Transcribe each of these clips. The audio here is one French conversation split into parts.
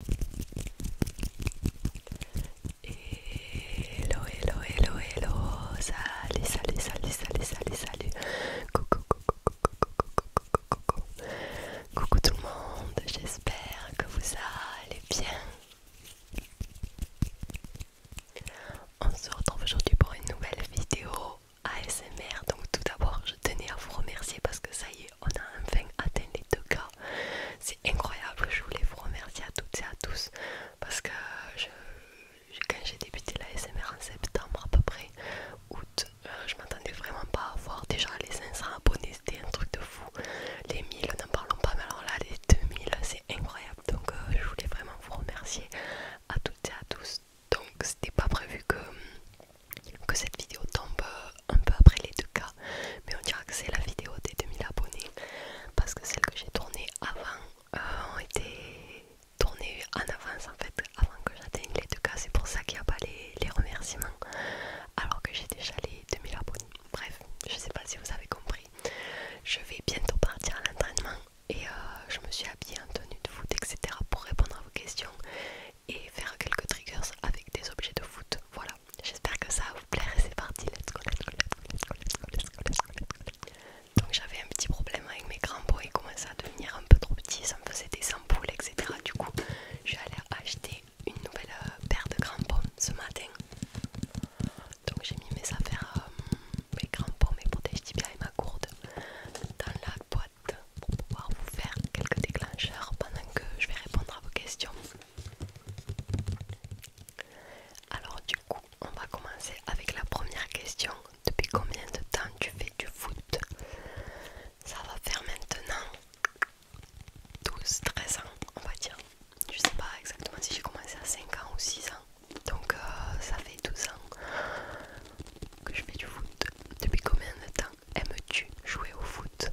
Hello, hello, hello, hello. Salut, salut, salut, salut, salut, salut. Coucou, coucou, coucou, coucou, coucou. Coucou tout le monde. J'espère que vous allez bien. On se retrouve aujourd'hui pour une nouvelle vidéo ASMR. Donc tout d'abord, je tenais à vous remercier parce que ça y est on a enfin atteint les deux cas. C'est incroyable, je voulais vous remercier à toutes et à tous parce que quand j'ai débuté la SMR en septembre à peu près, août, euh, je m'attendais vraiment pas à voir déjà les 500 abonnés, c'était un truc de fou. Les 1000, n'en parlons pas, mais alors là, les 2000, c'est incroyable. Donc euh, je voulais vraiment vous remercier à toutes et à tous. Donc c'était pas prévu que que cette vidéo tombe euh, un peu après les deux cas, mais on dira que c'est la vidéo des 2000 abonnés parce que celles que j'ai tournées avant euh, ont été tournées en avance en fait, avant que j'atteigne les deux cas. C'est pour ça qu'il n'y a pas les, remerciements alors que j'ai déjà les 2000 abonnés. Bref, je sais pas si vous avez compris. Je vais bientôt partir à l'entraînement et euh, je me suis habillée en tenue de foot, etc. pour répondre à vos questions et faire quelques triggers avec des objets de foot. Voilà, j'espère que ça va vous plaire et c'est parti. Let's go, let's go, let's go, Donc j'avais un petit problème avec mes crampons, ils commençaient à devenir un peu trop petits, ça me faisait des ampoules, etc. Du coup, je suis allée acheter une nouvelle euh, paire de crampons ce matin. Donc j'ai mis mes affaires, euh, mes crampons, mes protège-tibias et ma gourde dans la boîte pour pouvoir vous faire quelques déclencheurs pendant que je vais répondre à vos questions. Alors du coup, on va commencer avec la première question. Depuis combien de temps tu fais du foot Ça va faire maintenant 12-13 ans, on va dire. Je sais pas exactement si j'ai commencé à 5 ans ou 6 ans. Donc euh, ça fait 12 ans que je fais du foot. Depuis combien de temps aimes-tu jouer au foot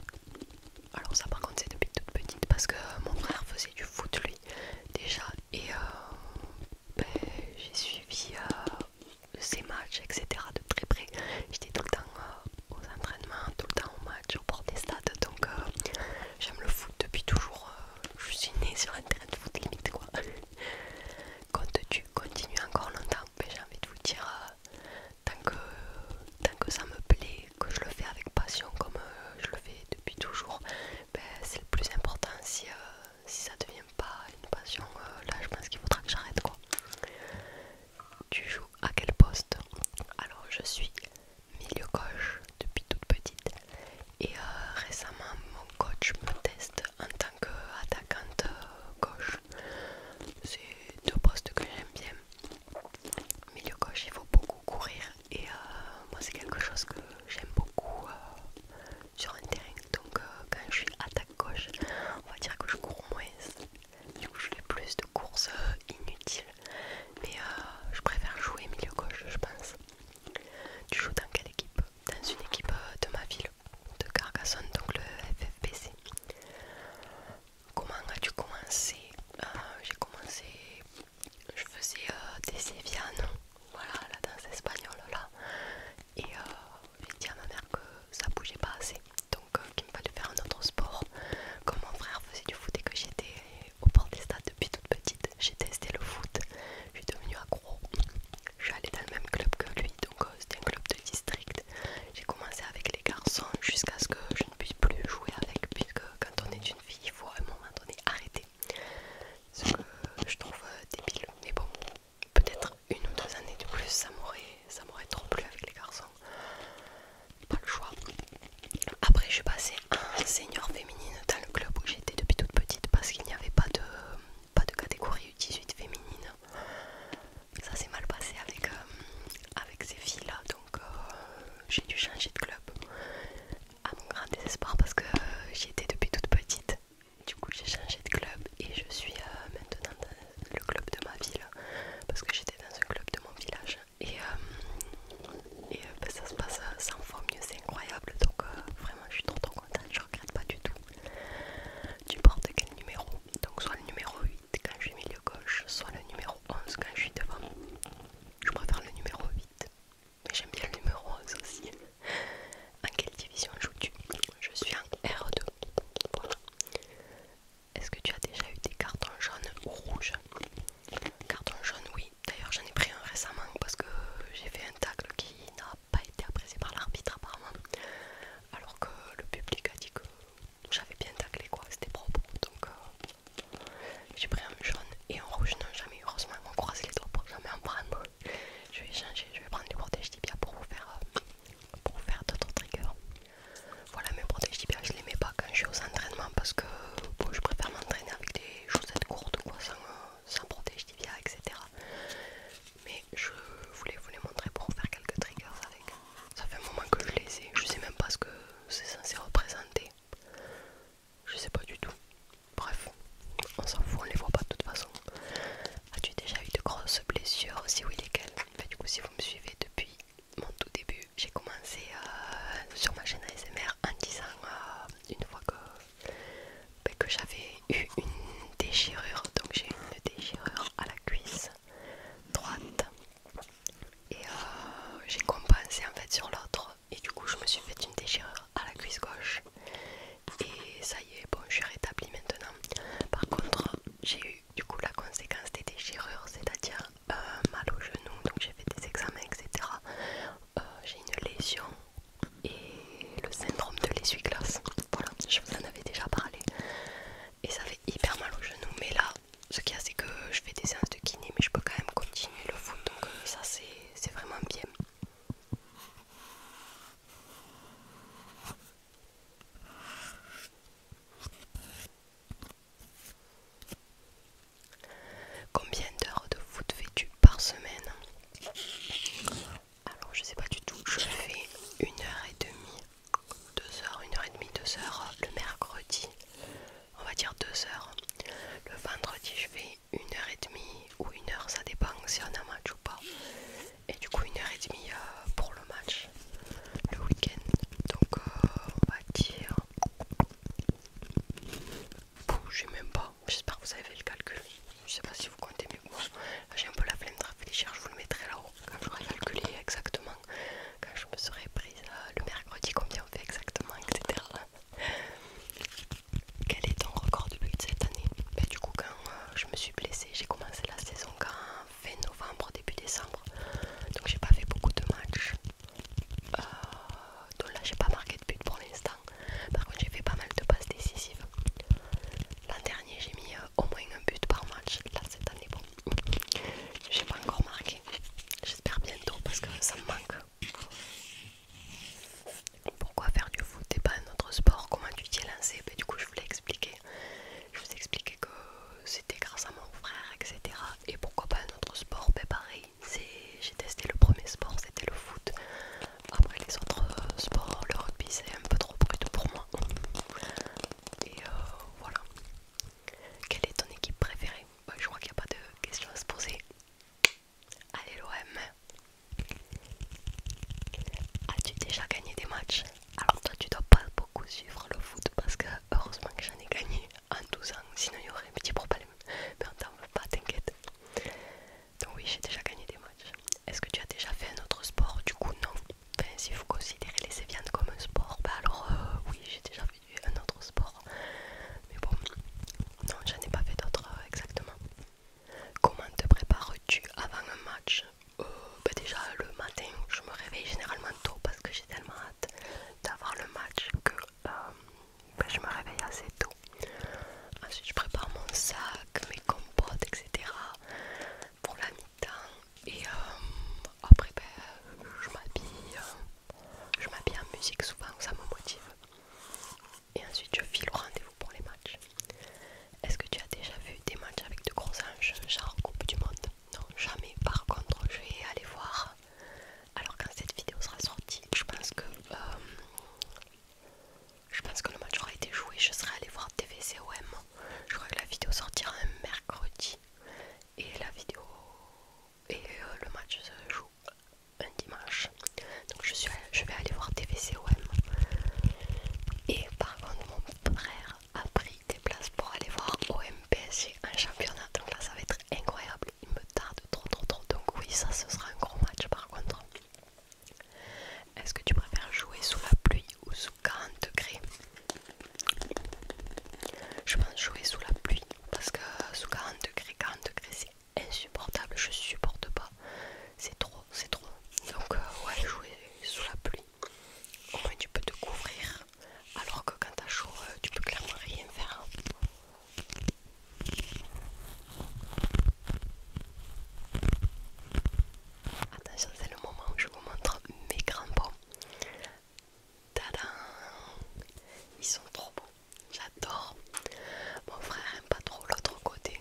Alors ça par contre c'est depuis toute petite parce que euh, mon frère faisait du foot lui déjà et euh, ben, j'ai suivi Ces euh, ses matchs etc de très près. J'étais tout le temps aux entraînements, tout le temps au match, au bord des stades donc j'aime le foot depuis toujours. je suis née sur un terrain de foot limite quoi. Comptes-tu continuer encore longtemps j'ai envie de vous dire, euh, tant, que, tant que ça me plaît, que je le fais avec passion comme euh, je le fais depuis toujours, ben, c'est le plus important. Si, ça euh, si ça devient pas une passion, là je pense qu'il faudra que j'arrête quoi. Tu joues à quel poste Alors je suis milieu gauche depuis toute petite et récemment mon coach me teste en donc attaquante euh, gauche. C'est deux postes que j'aime bien. Milieu gauche, il faut beaucoup courir et euh, moi c'est quelque chose que j'aime beaucoup euh, sur un terrain. Donc quand je suis attaque gauche, on va dire que je cours moins. Du coup je fais plus de courses inutiles. Mais je préfère jouer milieu gauche je pense. Tu joues dans quelle équipe Dans une équipe de ma ville de Carcassonne, donc le FFPC. Comment as-tu commencé euh, J'ai commencé, je faisais euh, des sévianes, voilà, la danse espagnole là, et euh, j'ai dit à ma mère que ça bougeait pas assez, donc qu'il me fallait faire un autre sport. Comme mon frère faisait du foot et que j'étais au port des stades depuis toute petite, j'ai testé le foot, je suis devenue accro, je suis allée dans le même club que lui, donc euh, c'était un club de district. J'ai commencé avec les garçons jusqu'à ce que je ne puisse plus jouer avec, puisque quand on est une fille, il faut à un moment donné arrêter. Ce que je trouve euh, débile, mais bon, peut-être une ou deux années de plus, ça m'aurait trop plu avec les garçons. Pas le choix. Après, je suis passée senior féminine dans le club où j'étais depuis toute petite parce qu'il n'y avait pas de, pas de catégorie U18 féminine ça s'est mal passé avec, euh, avec ces filles là donc euh, j'ai dû changer de club à mon grand désespoir parce que euh, j'y étais depuis toute petite du coup j'ai changé de club et je suis maintenant dans le club de ma ville parce que j'étais dans un club de mon village et, ben, ça se passe 100 fois mieux c'est incroyable donc vraiment je suis trop trop contente je regrette pas du tout. Tu portes quel numéro Donc soit le numéro 8 quand je suis milieu gauche, soit le numéro 11 quand je suis devant. Je préfère le numéro 8. Mais j'aime bien le numéro 11 aussi. En quelle division joues-tu Je suis en R2. Est-ce que tu as déjà eu des cartons jaunes ou rouges Carton jaune, oui. D'ailleurs, j'en ai pris un récemment parce que j'ai fait un tacle qui n'a pas été apprécié par l'arbitre apparemment. Alors que le public a dit que j'avais bien taclé quoi, c'était propre. Donc euh, j'ai pris un jaune et un rouge, non jamais, heureusement on croise les doigts pour jamais en prendre. Je vais changer, je vais prendre du protège tibia pour vous faire euh, pour faire d'autres triggers. Voilà mes protège tibia, je les mets pas quand je suis aux entraînements parce que je préfère m'entraîner avec des chaussettes courtes quoi sans euh, protège tibia etc mais je voulais vous les montrer pour faire quelques triggers avec. Ça fait un moment que je les ai, je sais même pas ce que c'est censé représenter. Je sais pas du tout. Bref, on s'en fout, on les voit pas de toute façon. As-tu déjà eu de grosses blessures Si oui, lesquelles bah, Du coup, si vous me suivez depuis mon tout début, j'ai commencé euh, sur ma chaîne ASMR en disant euh, une fois que ben, que j'avais eu une déchirure. Donc j'ai une déchirure à la cuisse droite. Et euh, j'ai compensé en fait sur l'autre. Et du coup je me suis fait une déchirure à la cuisse gauche. Et ça y est, bon je suis rétablie maintenant. Par contre j'ai eu du coup la conséquence des déchirures, c'est-à-dire euh, mal au genou. Donc j'ai fait des examens, etc. Euh, j'ai une lésion et le syndrome de l'essuie-glace. Voilà, je vous en avais déjà parlé. Et ça fait hyper mal au genou. Mais là, ce qu'il y a, c'est que je fais des séances de kiné, mais je peux quand même continuer le foot. Donc, euh, ça, c'est vraiment bien. Combien d'heures de foot fais-tu par semaine alors je sais pas du tout, je fais une heure et demie, deux heures, une heure et demie, deux heures le mercredi, on va dire deux heures. Le vendredi je fais une heure et demie ou une heure, ça dépend si on a un match ou pas. Et du coup une heure et demie euh, pour le match le week-end. Donc euh, on va dire. je j'ai même pas J'espère que vous avez fait le calcul. Je sais pas si vous comptez mieux que moi. J'ai un peu la flemme de réfléchir, je vous le mettrai là-haut quand j'aurai calculé exactement. Quand je me serai prise euh, le mercredi, combien on fait exactement, etc. Quel est ton record de but cette année bah, Du coup, quand euh, je me suis blessée, j'ai commencé la saison quand fin novembre, début décembre. Donc j'ai pas fait beaucoup de matchs. Euh, donc là, j'ai pas marqué de but pour l'instant. Par contre, j'ai fait pas mal de passes décisives. L'an dernier, j'ai mis euh, au moins un but par match. Là, cette année, bon, j'ai pas encore marqué. J'espère bientôt parce que ça me manque. Pourquoi faire du foot et pas un autre sport Comment tu t'y es lancé ben, Du coup, je voulais l'ai Je vous ai que c'était grâce à mon frère, etc. Et pourquoi pas un autre sport mais ben, Pareil, j'ai testé le premier sport, c'était le foot. Après les autres euh, sports, le rugby c'est un peu trop brut pour moi. Et euh, voilà. Quelle est ton équipe préférée Je crois qu'il n'y a pas de questions à se poser. Allez l'OM As-tu déjà gagné des matchs Alors toi tu dois pas beaucoup suivre le foot parce que heureusement que j'en ai gagné en 12 ans, sinon il y aurait un petit problème. Mais on t'en veut pas, t'inquiète. Donc oui, j'ai déjà gagné des matchs. Est-ce que tu as déjà fait un autre sport Du coup, non. si vous considérez les séviantes comme un sport, bah alors euh, oui, j'ai déjà fait un autre sport. Mais bon, non, j'en ai pas fait d'autres euh, exactement. Comment te prépares-tu avant un match euh, bah Déjà le matin, je me réveille généralement tôt parce que j'ai tellement hâte d'avoir le match que ben, je me réveille assez tôt. Ensuite, je prépare mon sac, mes compotes, etc. pour la mi-temps. Et euh, après, ben, je m'habille. Euh, je m'habille en musique souvent, ça me motive. Et ensuite, je file au rendez-vous pour les matchs. Est-ce que tu as déjà vu des matchs avec de gros anges, genre Coupe du Monde Non, jamais. Par contre, je vais aller voir. Alors, quand cette vidéo sera sortie, je pense que euh, je pense que le match aura été joué, je serai allé voir TVCOM. Je crois que la vidéo sortira un mercredi. Et la vidéo et euh, le match se joue un dimanche. Donc je, je vais aller voir TVCOM. Et par contre mon frère a pris des places pour aller voir OMPSG un championnat. Donc là ça va être incroyable. Il me tarde trop trop trop. Donc oui ça ce sera un gros match par contre. Est-ce que tu préfères jouer sous la pluie ou sous 40 degrés Je pense jouer sous la pluie parce que sous 40 degrés, 40 degrés c'est insupportable, je supporte pas. C'est trop, c'est trop. Donc euh, ouais, jouer sous la pluie. Au moins tu peux te couvrir alors que quand t'as chaud, euh, tu peux clairement rien faire. Attention, c'est le moment où je vous montre mes crampons. Tadam Ils sont trop beaux, j'adore. Mon frère aime pas trop l'autre côté,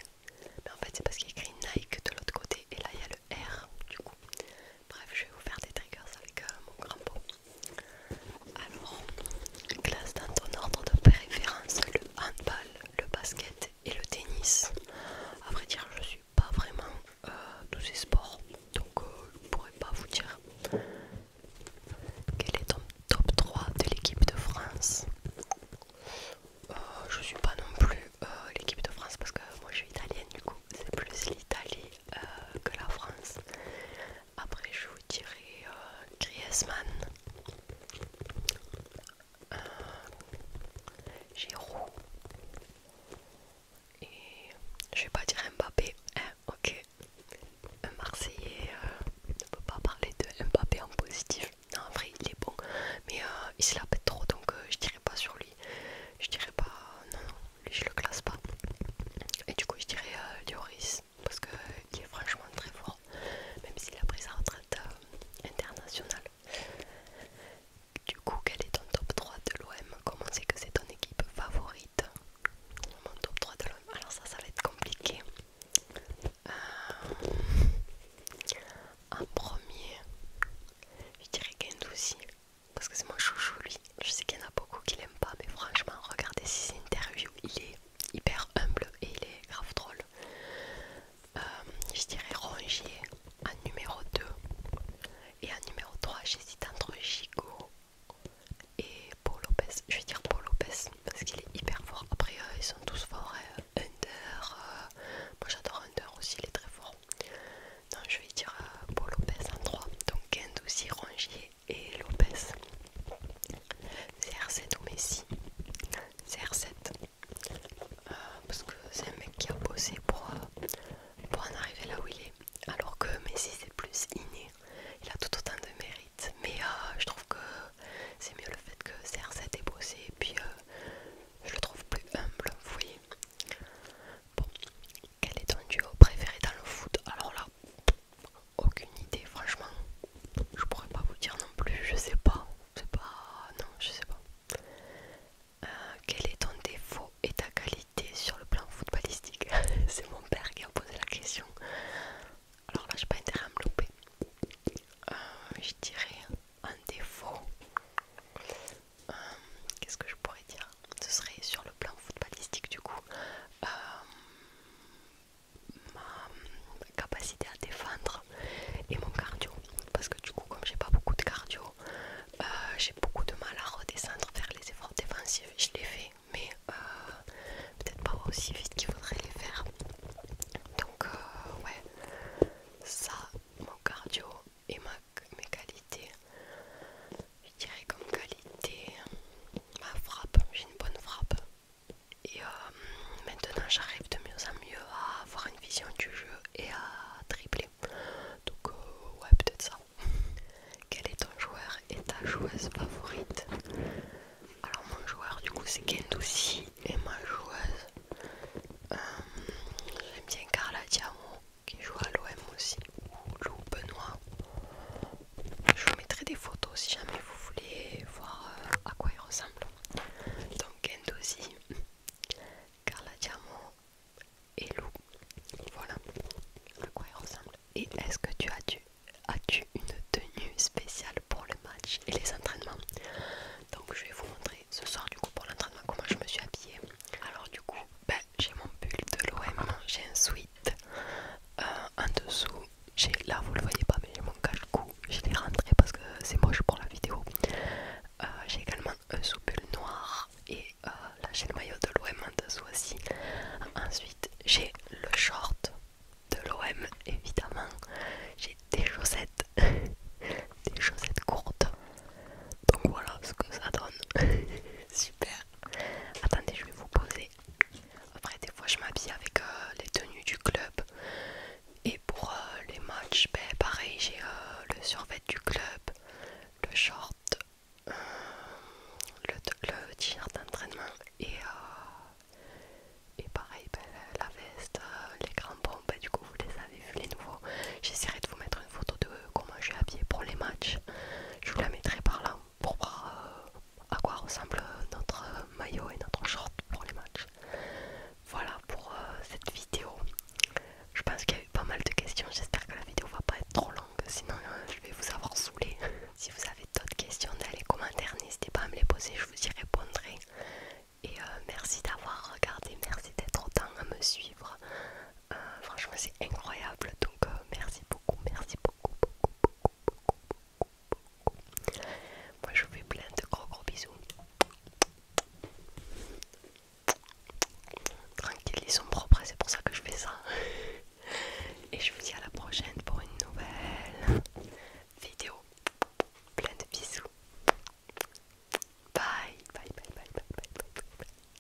mais en fait c'est parce qu'il écrit Nike de l'autre côté et là il y a le R du coup. Bref, je vais vous faire des triggers avec euh, mon crampon. Alors, classe dans ton ordre de préférence le handball, le basket et le tennis. A vrai dire, je suis pas vraiment tous euh, ces sports, donc euh, je ne pourrais pas vous dire. Quel est ton top 3 de l'équipe de France Je euh, Je suis pas non plus l'équipe de France parce que moi je suis italienne, du coup c'est plus l'Italie que la France. Après, je vous dirai euh, Griezmann, euh, et je vais pas dire Mbappé, hein, ok. Un Marseillais euh, On ne peut pas parler de Mbappé en positif. Non, en vrai, il est bon, mais il se la pète trop donc je dirais pas sur lui. Je dirais pas, non, lui je le classe pas. Et du coup, je dirais Dioris parce qu'il est franchement très fort, même s'il a pris sa retraite euh, internationale. Du coup, quel est ton top 3 de l'OM Comment c'est que c'est ton équipe favorite Mon top 3 de l'OM, alors ça, ça va être compliqué. Euh, en premier, je dirais Gendouzi aussi, parce que c'est mon chouchou lui. Je sais qu'il y en a beaucoup qui l'aiment pas, mais franchement, regardez ces interviews, il est hyper humble et il est grave drôle. Euh, je dirais Rongier en numéro 2 et en numéro 3 j'hésite entre gigo et Paul Lopez. Je vais dire Paul Lopez parce qu'il est hyper fort. Après euh, ils sont tous forts. hunter euh, moi j'adore Under aussi, il est très fort. donc je vais dire Beau Lopez en 3. Donc Kend aussi, Rongier et Lopez. CR7 ou Messi CR7 euh, parce que c'est un mec qui a bossé pour, euh, pour en arriver là où il est alors que Messi c'est plus inné il a tout autant de mérite mais euh, je trouve que c'est mieux le fait que CR7 est bossé et puis je le trouve plus humble vous voyez bon quel est ton duo préféré dans le foot alors là aucune idée, franchement. Je pourrais pas vous dire non plus, je sais pas. sais pas. Non, je sais pas. Euh, quel est ton défaut et ta qualité sur le plan footballistique C'est mon père qui a posé la question. Alors là, j'ai pas intérêt à me louper. Euh, je dirais un défaut. Euh, qu'est-ce que je pourrais dire ce serait sur le plan footballistique du coup euh, ma capacité à défendre et mon cardio parce que du coup comme j'ai pas beaucoup de cardio euh, j'ai beaucoup de mal à redescendre faire les efforts défensifs je les fais mais euh, peut-être pas aussi vite qu'il faudrait les faire donc ouais ça mon cardio et mes qualités je dirais comme qualité ma frappe, j'ai une bonne frappe. Et euh, maintenant j'arrive de mieux en mieux à avoir une vision du jeu et à tripler. Donc euh, ouais peut-être ça. Quel est ton joueur et ta joueuse favorite Alors mon joueur du coup c'est Gendoussi et ma joueuse euh, j'aime bien Carla Diamo qui joue à l'OM aussi ou Lou Benoît je vous mettrai des photos si jamais vous voulez voir euh, à quoi il ressemble. Donc Gendozi, Carla Diamo et Lou. Voilà à quoi il ressemble. Et est-ce que tu as dû as-tu une tenue spéciale pour le match et les entraînements Donc je vais vous montrer ce soir du coup pour l'entraînement comment je me suis habillée. Alors du coup, ben, j'ai mon pull de l'OM, j'ai un sweat euh, en dessous j'ai là vous le voyez pas mais j'ai mon cache cou je les rentré parce que c'est moche pour la vidéo euh, j'ai également un soupule noir et euh, la chaîne maillot de l'OM en dessous aussi ensuite j'ai le short de l'OM évidemment j'ai des chaussettes des chaussettes courtes donc voilà ce que ça donne super Attendez, je vais vous poser. Après, des fois, je m'habille avec euh, les tenues du club. Et pour euh, les matchs, ben, pareil, j'ai euh, le survêt du club, le short, le t-shirt d'entraînement et, et pareil, ben, la veste, les crampons. Ben, du coup, vous les avez vus, les nouveaux. J'essaierai de vous mettre une photo de comment j'ai habillé pour les matchs. Je vous la mettrai par là pour voir euh, à quoi ressemble notre maillot et notre short pour les matchs. Voilà pour euh, cette vidéo. Je pense qu'il y a eu pas mal de questions. J'espère que la vidéo va pas être trop longue. Sinon, euh, je vais vous avoir saoulé. si vous avez d'autres questions dans les commentaires, n'hésitez pas à me les poser. Je vous y répondrai. Et merci d'avoir regardé. Merci d'être autant à me suivre. Euh, franchement, c'est incroyable. Donc, euh, merci beaucoup, merci beaucoup, beaucoup, Moi, je vous fais plein de gros gros bisous. Tranquille, ils sont propres, c'est pour ça que je fais ça. Et je vous dis à la prochaine pour une nouvelle vidéo. Plein de bisous. bye, bye, bye, bye. bye.